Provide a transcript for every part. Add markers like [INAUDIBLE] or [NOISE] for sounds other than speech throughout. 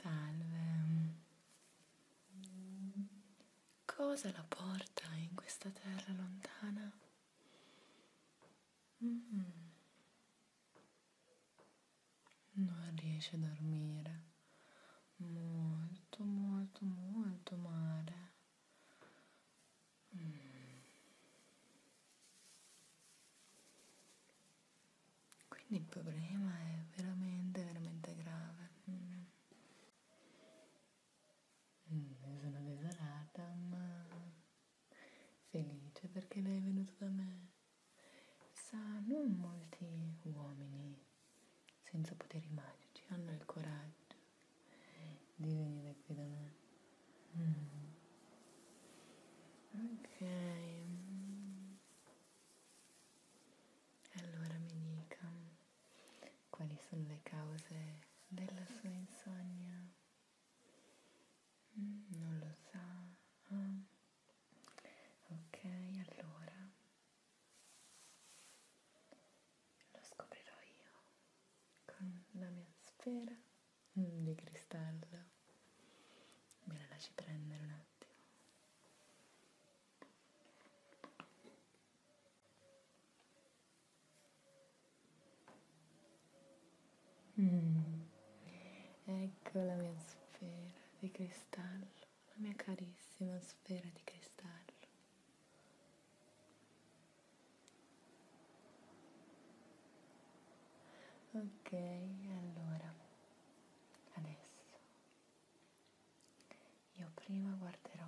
Salve. Cosa la porta in questa terra lontana? Mm. Non riesce a dormire. Molto, molto, molto male. Mm. Quindi il problema è veramente, veramente grave. Mm. Mm, sono desolata, ma felice perché lei è venuto da me. Sa, non molti uomini senza poteri magici hanno il coraggio di venire qui da me. Mm. Ok. Mm. Allora mi dica quali sono le cause della sua insonnia? Mm, non lo sa. Ah. Ok, allora lo scoprirò io con la mia sfera di cristallo. Me la lasci prendere una attimo mm. ecco la mia sfera di cristallo la mia carissima sfera di cristallo ok allora adesso io prima guarderò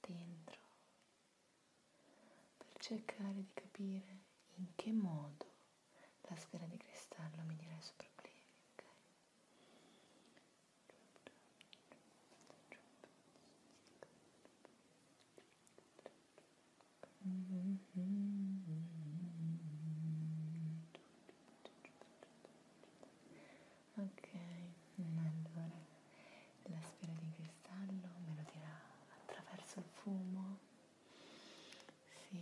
dentro per cercare di capire in che modo la sfera di cristallo mi dirà i suoi problemi. Okay? Ok, allora la sfera di cristallo me lo dirà attraverso il fumo. Sì,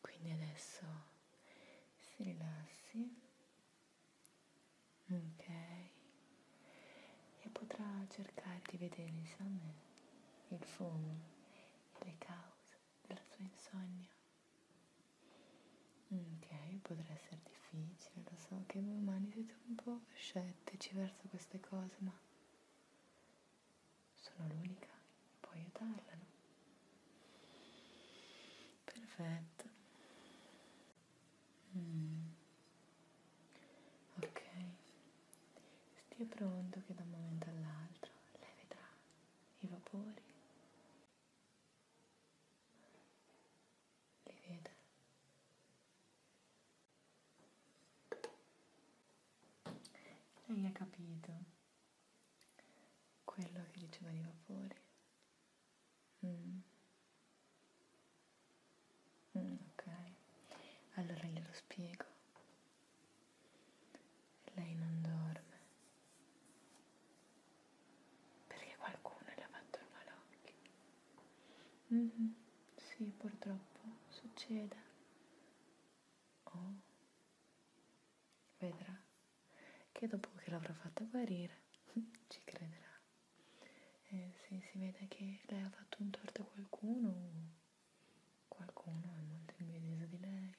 quindi adesso si rilassi. Ok, e potrà cercare di vedersi a me il fumo e le cause della tua insonnia. Ok, potrà essere difficile, lo so che voi umani siete un po' scettici verso queste cose, ma sono l'unica che può aiutarla, no? Perfetto. Mm. Ok, Stia pronto che da un momento all'altro lei vedrà i vapori. Li vede. Lei ha capito quello che diceva i vapori. Mm. Mm, ok, allora glielo spiego. Lei non dorme perché qualcuno le ha fatto il malocchio. Mm-hmm. Sì, purtroppo succede. Oh, vedrà che dopo che l'avrò fatta guarire [LAUGHS] ci crederà. Eh, se si vede che lei ha fatto un torto a qualcuno qualcuno è molto invidioso di lei.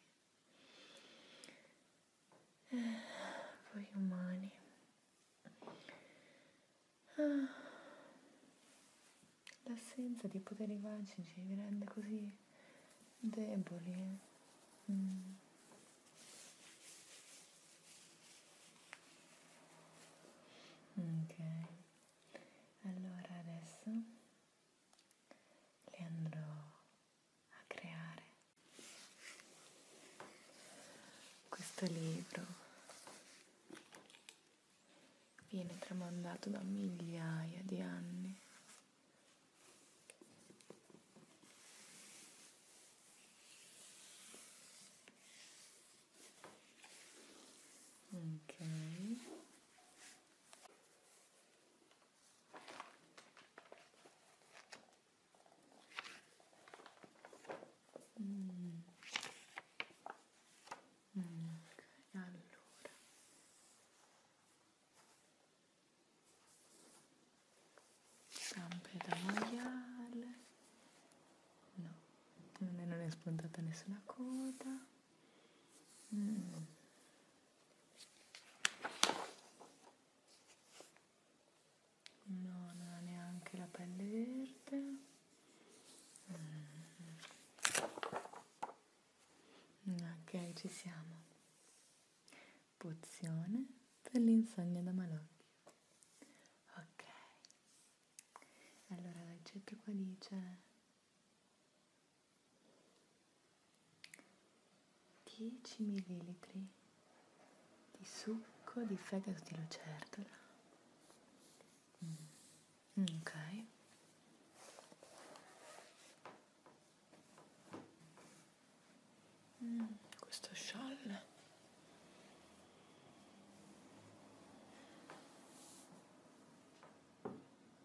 Eh, voi umani. Ah, l'assenza di poteri magici vi rende così deboli. Mm. Ok, allora adesso le andrò a creare. Questo libro viene tramandato da migliaia di anni. Ok. Mm. Mm, okay. allora zampe da maiale no non è, non è spuntata nessuna coda Mm. No, non ha neanche la pelle verde. Mm. mm ok, ci siamo. Pozione per l'insonnia da malocchio. Ok. Allora, l'accetto qua dice 10 ml di succo di fegato di lucertola mm. mm ok mm, questo scialle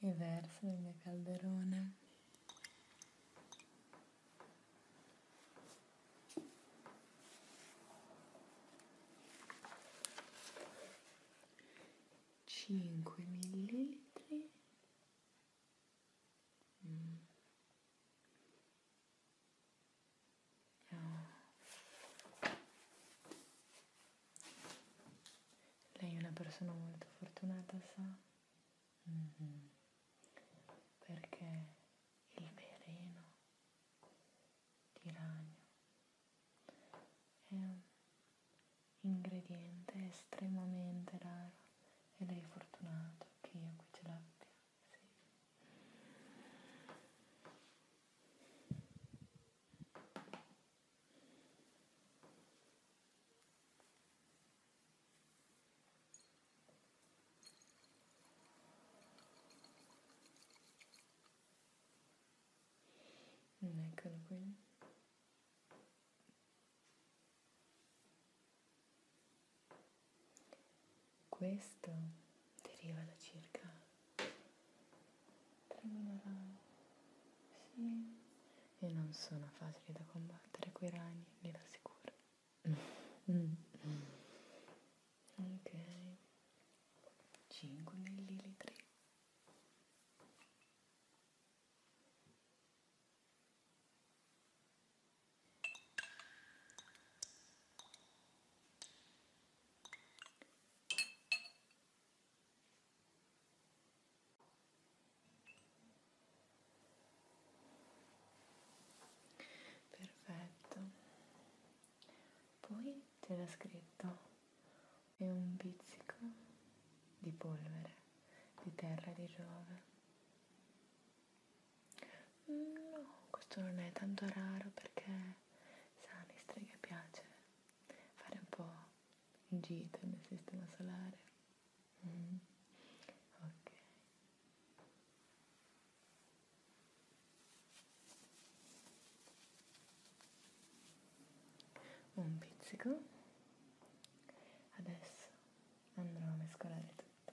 e verso nel mio calderone. Cinque millilitri. Mm. Oh. Lei è una persona molto fortunata, sa? Mm-hmm. Perché il veleno di ragno è un ingrediente estremamente raro ed è fortunato che io qui ce l'abbia. Sì. Eccolo qui. Questo deriva da circa 3.000 anni. Sì, e non sono facili da combattere quei ragni, glielo assicuro. Mm. ok, 5 millilitri. Perfetto. Poi c'era scritto e un pizzico di polvere di terra di Giove. No, questo non è tanto raro perché sa, alle streghe piace fare un po' un giro nel sistema solare. Mm. Ok. Un pizzico. Adesso andrò a mescolare tutto.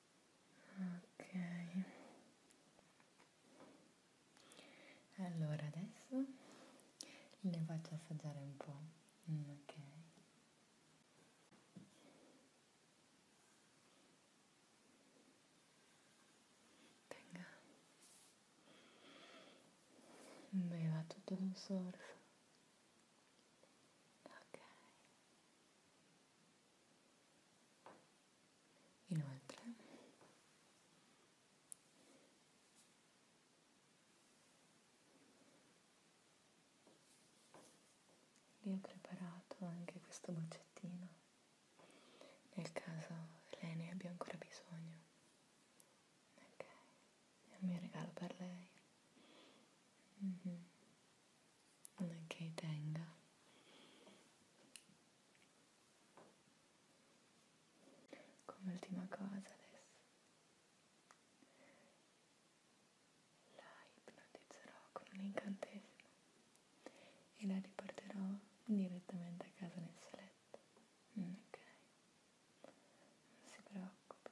ok allora adesso le faccio assaggiare un po' mm, ok Venga. mi va tutto d'un sorso ok Inoltre, vi ho preparato anche questo boccettino nel caso lei ne abbia ancora bisogno. Ok, è un mio regalo per lei. Mm-hmm che tenga come ultima cosa adesso la ipnotizzerò con un incantesimo e la riporterò direttamente a casa nel suo letto mm, ok non si preoccupi